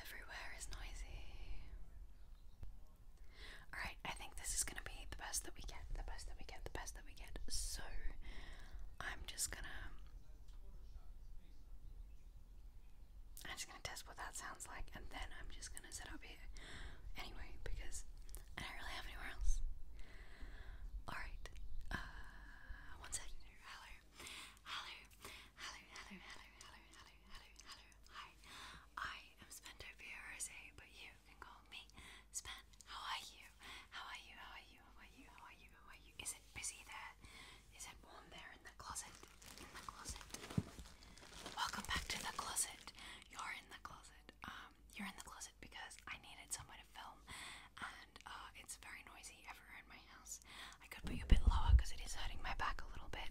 Everywhere is noisy. Alright, I think this is gonna be the best that we get, the best that we get, the best that we get. So, I'm just gonna. I'm just gonna test what that sounds like and then I'm just gonna set up here anyway because I don't really have anywhere else. Alright, uh, one second. Hello, Hello, hello, hello, hello, hello, hello, hello, hello. Hi, I am Spender Rose, but you can call me Spen. How are you? How are you? How are you? How are you? How are you? How are you? Is it busy there? Is it warm there in the closet? In the closet. Welcome back to the closet. You're in the closet. Um, you're in the closet because I needed somewhere to film, and uh, it's very noisy everywhere in my house. I could put you a bit lower because it is hurting my back a little bit.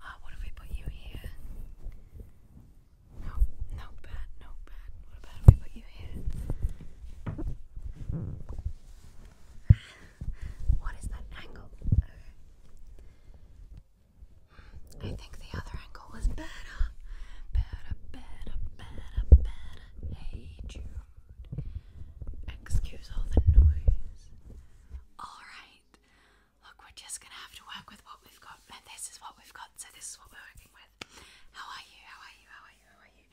Uh, what if we put you here? No, no bad, no bad. What about if we put you here? what is that angle? I think the other angle was better. Better, better, better, better. Hey, Jude. Excuse all the noise. Alright. Look, we're just gonna have to work with what we've got. And this is what we've got, so this is what we're working with. How are you? How are you? How are you? How are you?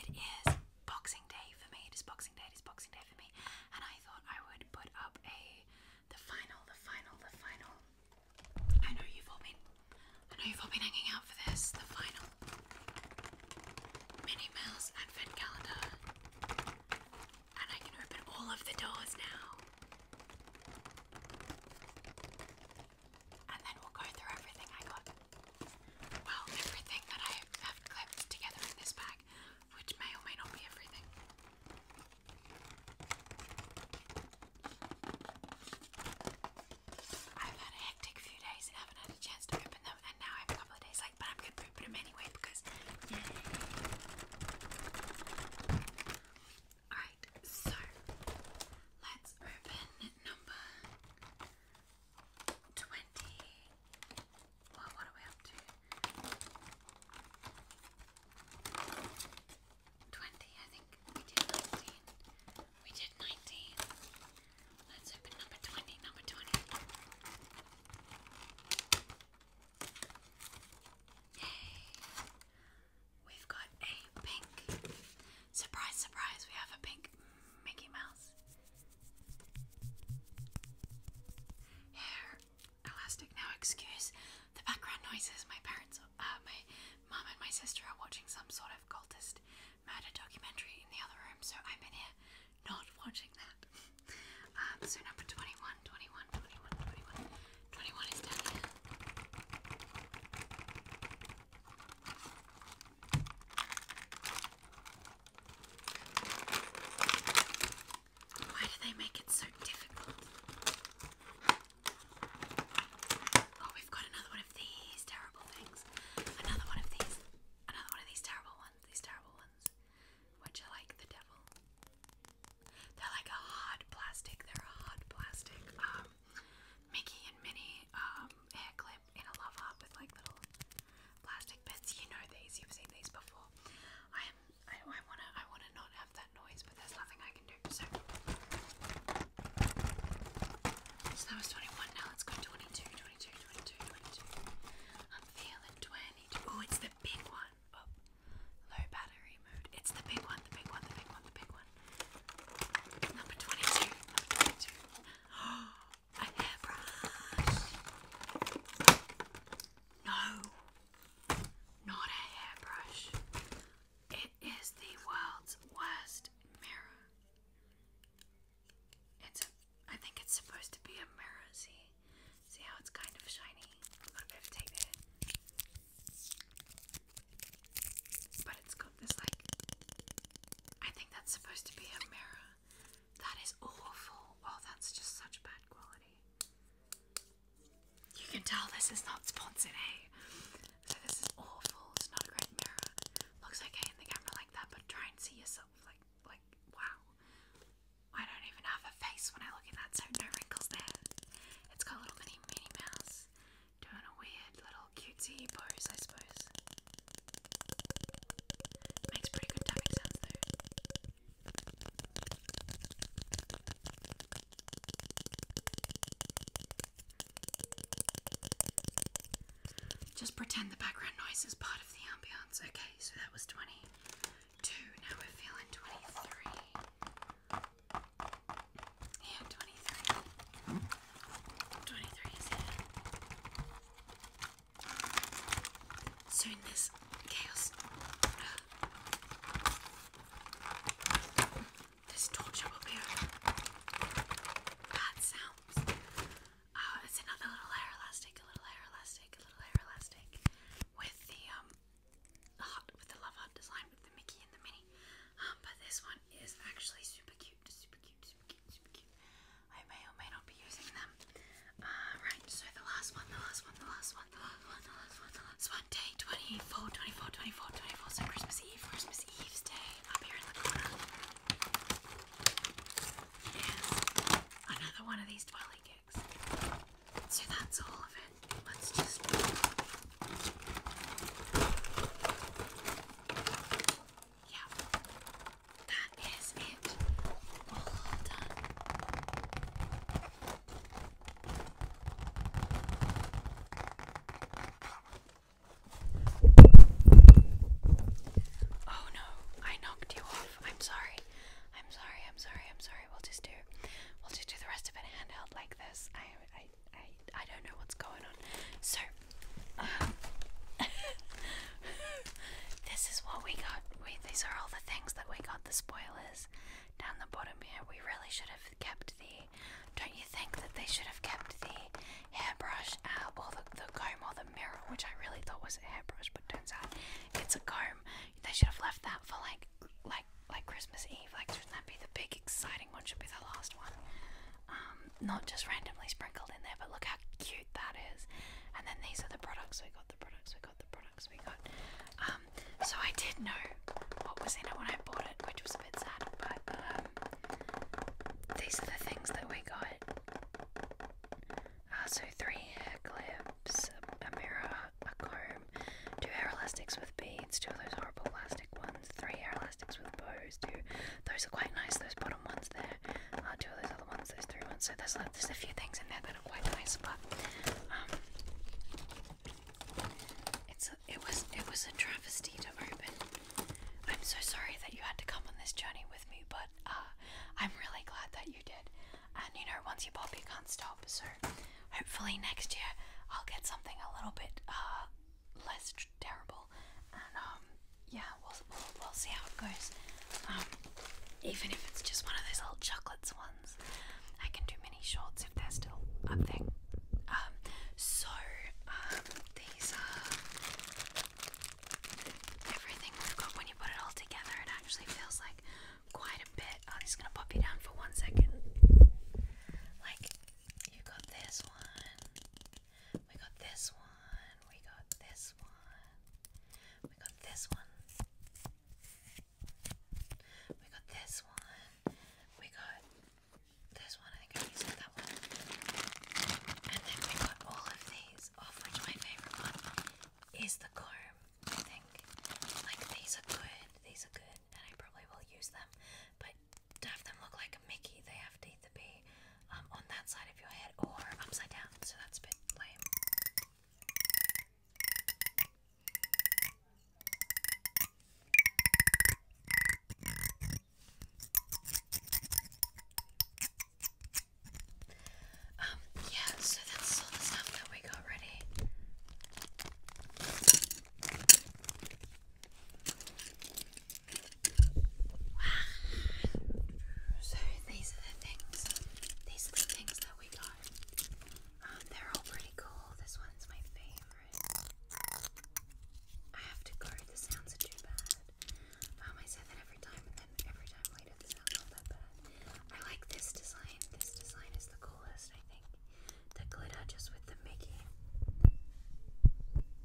It is Boxing Day for me. It is Boxing Day, it is Boxing Day for me. And I thought I would put up a the final, the final, the final. I know you've all been I know you've all been hanging out for this, the final. Minnie and Fen Calendar. And I can open all of the doors now. And then we'll go through everything I got. Well, everything that I have clipped together in this bag, which may or may not be everything. I've had a hectic few days I haven't had a chance to open them, and now I have a couple of days like, but I'm gonna open them anyway because. Alright, so let's open number 20. what are we up to? 20, I think. We did 19. We did 19. Let's open number 20, number 20. Yay! We've got a pink. Surprise, surprise, we have a pink Mickey Mouse. Hair elastic. Now, excuse the background noises. My parents, uh, my mum and my sister are watching some sort of cultist murder documentary in the other room, so i am been here not watching that. Um, so number 21, is down Why do they make it so difficult? Oh, we've got another one of these terrible things. Another one of these. Another one of these terrible ones ones, these terrible ones, which are like the devil. They're like a hard plastic. They're a hard plastic. Um, Mickey and Minnie um, hair clip in a love with like little plastic bits. You know these. You've seen these before. I am. I, I wanna. I wanna not have that noise, but there's nothing I can do. So. So that was 21, now let's go 22. 22. 22, I'm feeling 22. Oh, it's the big one. Oh, low battery mode. It's the big one, the big one, the big one, the big one. Number 22, number 22. Oh, a hairbrush. No, not a hairbrush. It is the world's worst mirror. It's a, I think it's supposed to be a mirror, see? See how it's kind of shiny? I'm gonna be able But it's got this like, I think that's supposed to be a mirror. That is awful. Oh, that's just such bad quality. You can tell this is not sponsored, eh? So this is awful. It's not a great mirror. Looks okay in the camera like that, but try and see yourself like like, wow. I don't even have a face when I look at that, so no wrinkles there. It's got little mini Minnie Mouse doing a weird little cutesy pose, I suppose. Makes pretty good tapping sounds though. Just pretend the background noise is part of the ambience. Okay, so that was 22. Now we're feeling 23. Yeah, 23. 23 Soon this chaos. This torture will be over. sounds. Oh, it's another little hair elastic, a little hair elastic, a little hair elastic, with the um, heart, with the love heart design, with the Mickey and the Minnie. Um, but this one is actually super cute, super cute, super cute, super cute. I may or may not be using them. Uh, right. So the last one, the last one, the last one, the last one, the last one, the last one. Day 24, 24, 24, 24. So Christmas Eve, Christmas Eve's day. Up here in the corner another one of these twirly gigs. So that's all of it. Let's just. Yeah, that is it. All done. Oh no, I knocked you I'm sorry. I'm sorry. I'm sorry. I'm sorry. We'll just do we'll just do the rest of it handheld like this. I I I, I don't know what's going on. So um, this is what we got. We these are all the things that we got the spoilers down the bottom here. We really should have kept the don't you think that they should have kept the hairbrush uh, or the, the comb or the mirror, which I really thought was a hairbrush, but turns out it's a comb. They should have left that for like like like Christmas Eve. Like shouldn't that be the big exciting one? Should be the last one. Um, not just randomly sprinkled in there, but look how cute that is. And then these are the products we got. The products we got. The products we got. Um, so I did know what was in it when I bought it, which was a bit sad. But um, these are the things that we got. Uh, so three hair clips, a mirror, a comb, two hair elastics with beads, two of those horrible plastic ones, three hair elastics with bows, two. Those are quite nice, those bottom ones there. Uh, two of those other ones, those three ones. So there's, there's a few things in there that are quite nice, but um, it's it was it was a travesty to open. I'm so sorry that you had to come on this journey with me, but uh, I'm really glad that you did. And you know, once you pop, you can't stop. So hopefully next year I'll get something a little bit uh, less terrible. And um, yeah, we'll, we'll we'll see how it goes. Um, even if it's just one of those little chocolates ones, I can do mini shorts if they're still up there. Um, so um, these are everything we got when you put it all together it actually feels like quite a bit. I'm oh, just gonna pop you down for one second. Like you got this one, we got this one, we got this one, we got this one, we got this one, we got this one, I think I used that one. And then we got all of these things, which my favorite one um, is the comb, I think. Like, these are good, these are good, and I probably will use them, but to have them look like a Mickey, they have to be um, on that side of your head or upside down, so that's a bit um, yeah, so that's all the stuff that we got ready. So these are the things, these are things that we got. Um, they're all pretty cool. This one's my favorite. I have to go. The sounds too bad. Um, I say that every time, every time later. It's not that bad. I like this design. This design is the coolest, I think. The glitter just with the Mickey.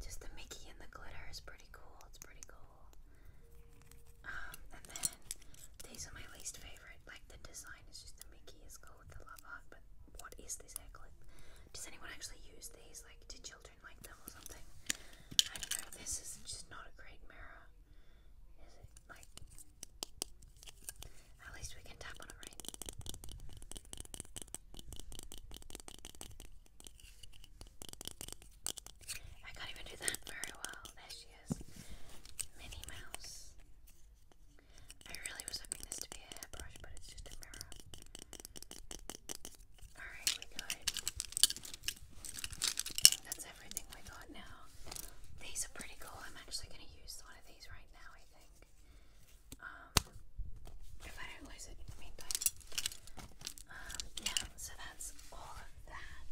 Just the Mickey and the glitter is pretty cool. It's pretty cool. Um, and then these are my least favorite. Like the design is just the Mickey is cool with the love heart, but what is this hair Does anyone actually use these? Like, do children I don't know. This is just not a great mirror, is it? Like, at least we can tap on it, right? I can't even do that very well. There she is, Minnie Mouse. I really was hoping this to be a hairbrush, but it's just a mirror. Alright, we got That's everything we got now. These are pretty cool. I'm actually going to use one of these right now, I think. Um, if I don't lose it in the meantime. Um, yeah, so that's all of that.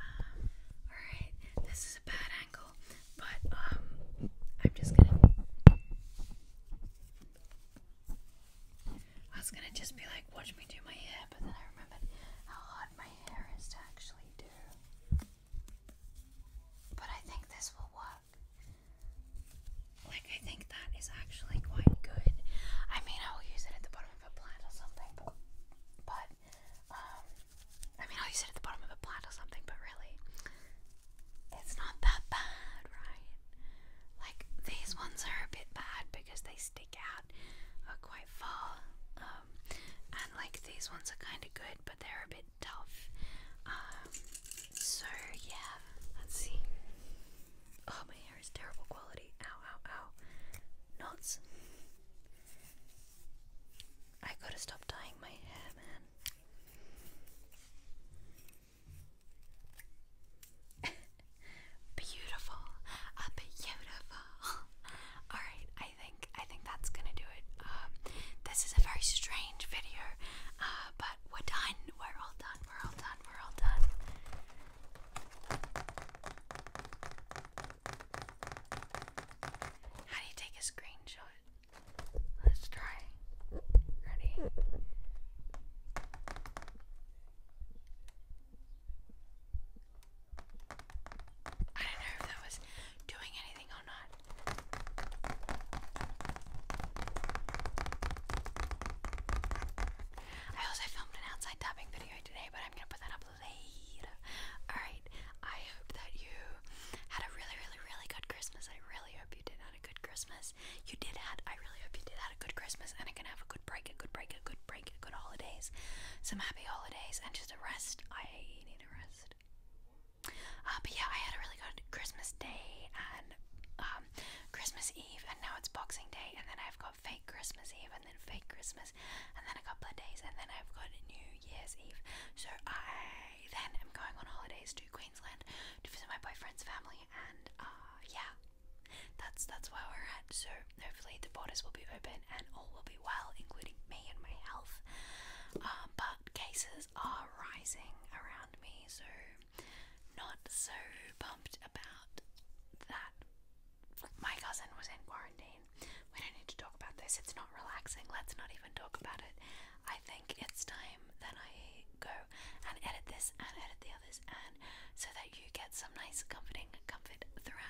Um, alright, this is a bad angle, but um, I'm just going to. I was gonna just be like, watch me do my hair, but then I remembered how hot my hair is to actually do. But I think this will work. Like, I think that is actually quite good. I mean, I will use it at the bottom of a plant or something, but, um, I mean, I'll use it at the bottom of a plant or something, but really, it's not that bad, right? Like, these ones are a bit bad because they stick out are uh, quite far. Um, and like these ones are kind of good, but they're a bit tough. Um, so yeah, let's see. Oh, my hair is terrible quality. Ow, ow, ow. Knots. I gotta stop dyeing my hair, man. Beautiful. beautiful. All right, I think I think that's gonna do it. Um, this is a very strange video, uh, but we're done. We're all done. We're all done. We're all done. How do you take a screenshot? Let's try. Ready? I don't know if that was doing anything or not. I also filmed an outside tapping video today, but I'm gonna put that up later. Alright, I hope that you had a really, really, really good Christmas. I really hope you did have a good Christmas. You did had I really hope you did had a good Christmas and I can have a good break, a good break, a good good holidays, some happy holidays, and just a rest. I need a rest. Uh, but yeah, I had a really good Christmas Day and um, Christmas Eve, and now it's Boxing Day, and then I've got fake Christmas Eve, and then fake Christmas, and then a couple of days, and then I've got New Year's Eve. So I then am going on holidays to Queensland to visit my boyfriend's family, and uh, yeah, that's that's where we're at. So hopefully the borders will be open and all will be well, including me and my health. Um, but cases are rising around me, so not so pumped about that. My cousin was in quarantine. We don't need to talk about this. It's not relaxing. Let's not even talk about it. I think it's time that I go and edit this and edit the others and so that you get some nice comforting comfort throughout